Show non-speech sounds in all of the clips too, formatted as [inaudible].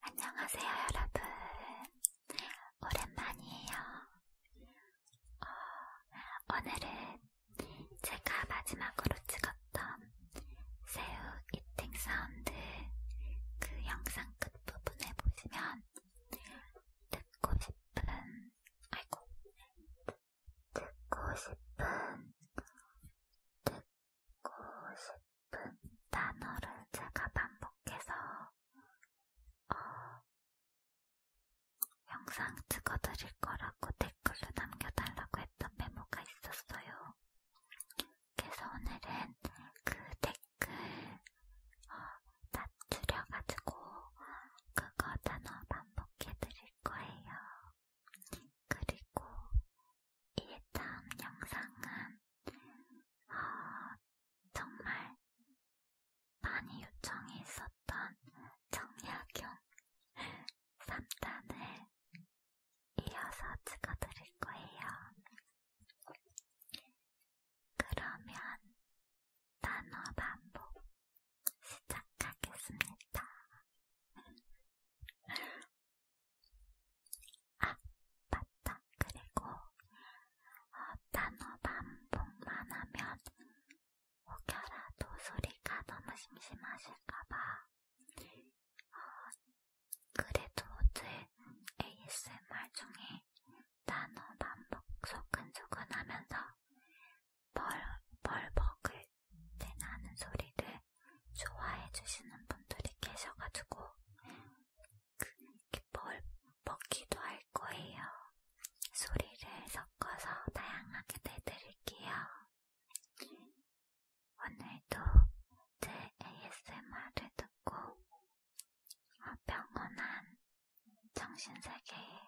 안녕하세요, 여러분. 오랜만이에요. 어, 오늘은 제가 마지막으로 찍었던 새우 이팅 사운드 그 영상 끝부분에 보시면 듣고 싶은, 아이고, 듣고 싶은, 듣고 듣고 싶은 단어를 제가 반복해서 어, 영상 찍어드릴 거라고 댓글로 남겨달라고 했던 메모가 있었어요. 그래서 오늘은 그 댓글 어, 다 줄여가지고 그거 단어 반복해드릴 거예요. 그리고 이 다음 영상은 어, 정말 많이 요청이 있었던 정약용 3단을 [laughs] 이어서 찍어드릴 거예요. 그러면 단어 반복 시작하겠습니다. 아, 맞다. 그리고 어, 단어 반복만 하면 혹여라도 소리가 너무 심심하실까봐 어, 그래도 제 ASMR 중에 단어 반복 소근소근 하면서 벌, 벌벅을 대나는 소리를 좋아해주시는 분들이 계셔가지고 그, 뭘 먹기도 할 거예요. 소리를 섞어서 다양하게 내드릴게요. 오늘도 제 ASMR을 듣고 어, 평온한 정신세계에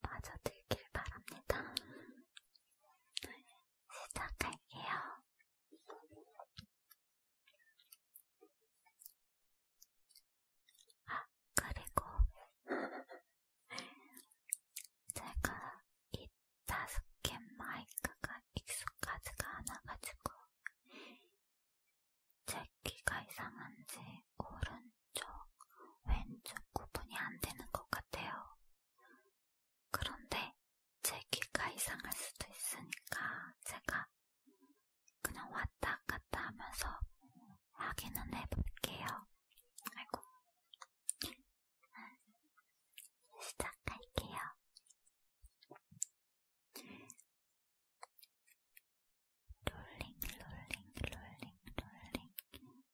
빠져들길 바랍니다. 시작할게요. 아, 그리고 [laughs] 제가 이 다섯 개 마이크가 익숙하지가 않아가지고 제 귀가 이상한지 오른쪽, 왼쪽 구분이 안 되는 것 같아요. 그런데 제 귀가 이상할 수도 있으니까 제가 그냥 왔다 갔다 하면서 확인은 해볼게요. 아이고. 시작할게요. 롤링, 롤링, 롤링, 롤링.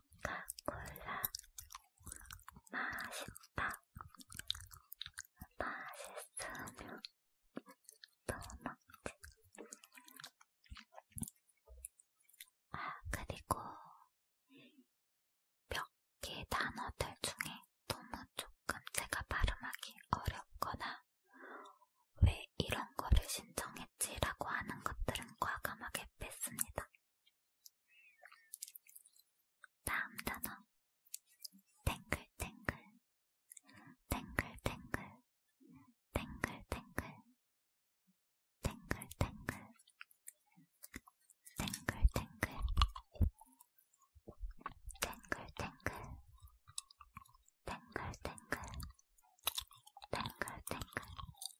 코카콜라 맛있다 맛있으면 또 먹지 아 그리고 몇 개 단어들 중에 너무 조금 제가 발음하기 어렵거나 왜 이런 거를 신청했지라고 하는 것들은 과감하게 뺐습니다. 다음 단어 탱글탱글 탱글탱글 탱글탱글 탱글탱글 탱글탱글 탱글탱글 탱글탱글 탱글탱글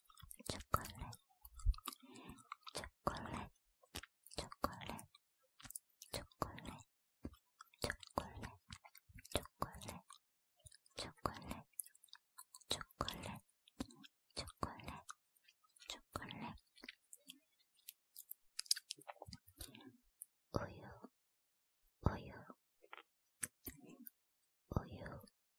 chocolate, chocolate, chocolate, chocolate, chocolate, chocolate, chocolate, chocolate, chocolate, chocolate. Oil, oil, oil,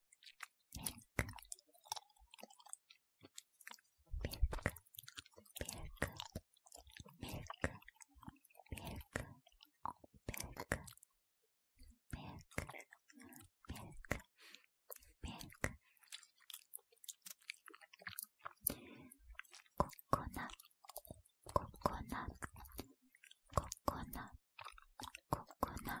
ココナココナ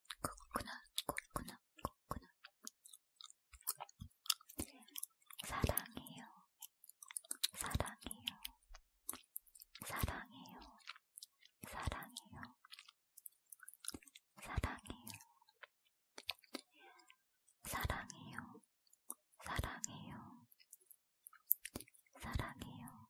코코넛, 코코넛, 코코넛. 사랑해요. 사랑해요. 사랑해요. 사랑해요. 사랑해요. 사랑해요. 사랑해요. 사랑해요.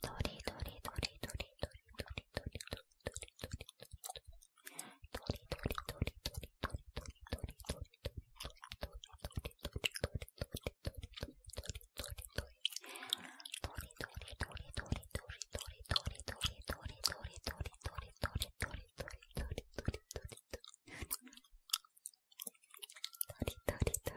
どりどりどりどりどりどりどりどりどりどりどりどりどりどり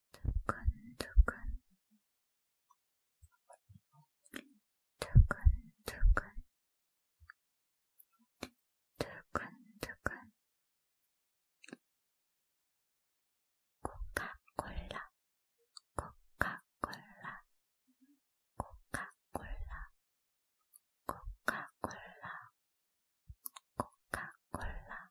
두근두근 두근두근 두근두근 코카콜라 코카콜라 코카콜라 코카콜라 코카콜라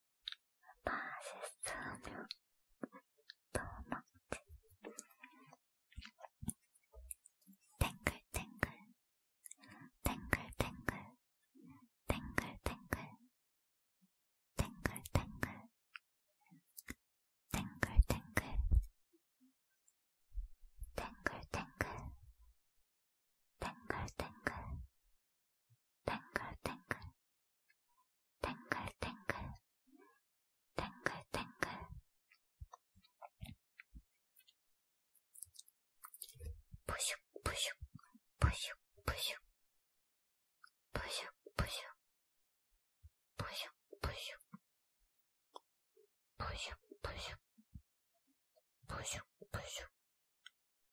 맛있으면 또 먹지. 탱글탱글, 탱글탱글, 탱글탱글, 탱글탱글, 탱글탱글, 탱글탱글, 탱글탱글. 탱글탱글 탱글탱글 탱글탱글 부슉 부슉 부슉 부슉 부슉 부슉 부슉 부슉 부슉 부슉 부슉 부슉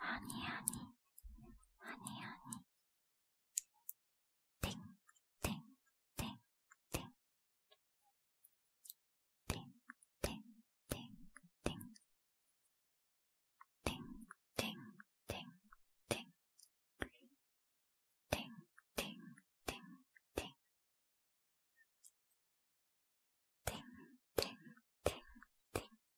아니, 아니, 아니, 아니. 땡, 땡, 땡, 땡. 땡, 땡, 땡, 땡. 땡, 땡, 땡, 땡. 땡, 땡, 땡, 땡. 땡, 땡, 땡, 땡.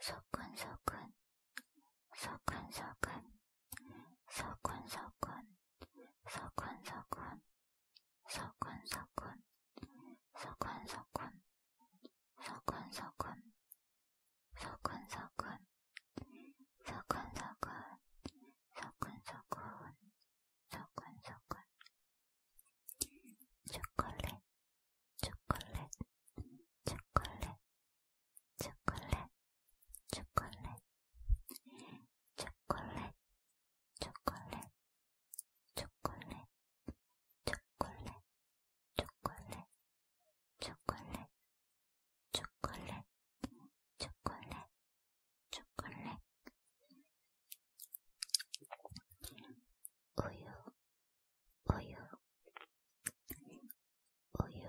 소근소근, 소근소근, 소근소근, 소근소근, 소근소근, 소근소근, 소근소근, 소근소근, 소근소근, 소근소근, 소근소근. 초콜릿, 초콜릿, 초콜릿, 초콜릿, 초콜릿, 초콜릿, 초콜릿, 초콜릿, 초콜릿, 초콜릿, 초콜릿, 초콜릿, 초콜릿, 초콜릿, 우유, 우유, 우유,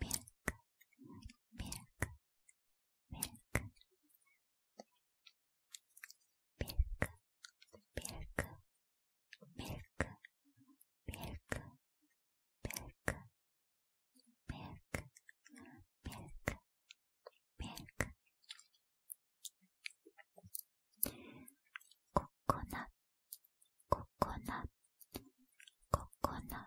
ミルク、ミルク、ミルク、ミルク、ミルク、ミルク、ミルク、ミルク、ミルク、ミルク、ミルク。ココナ、ココナ、ココナ。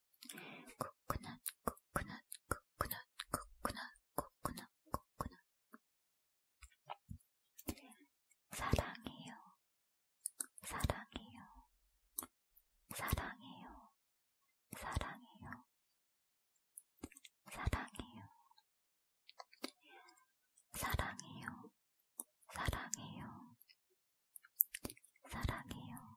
코코넛, 코코넛, 코코넛, 코코넛, 코코넛, 코코넛. 사랑해요. 사랑해요. 사랑해요. 사랑해요. 사랑해요. 사랑해요. 사랑해요. 사랑해요.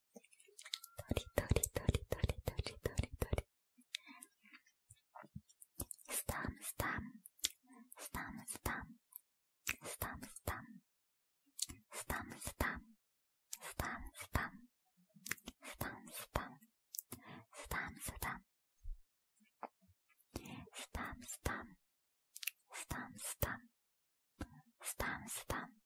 りとりとりとりとりとりとり。スタムスタム。スタムスタム。スタムスタム。スタムスタム。スタムスタム。スタムスタム。スタムスタム。スタムスタム。スタムスタム。スタムスタム。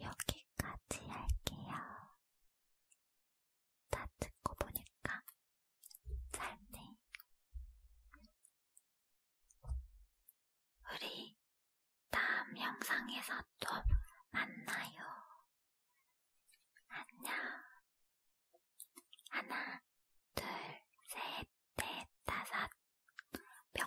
여기까지 할게요. 다 듣고 보니까 짧네. 우리 다음 영상에서 또 만나요. 안녕. 하나, 둘, 셋, 넷, 다섯, 뿅.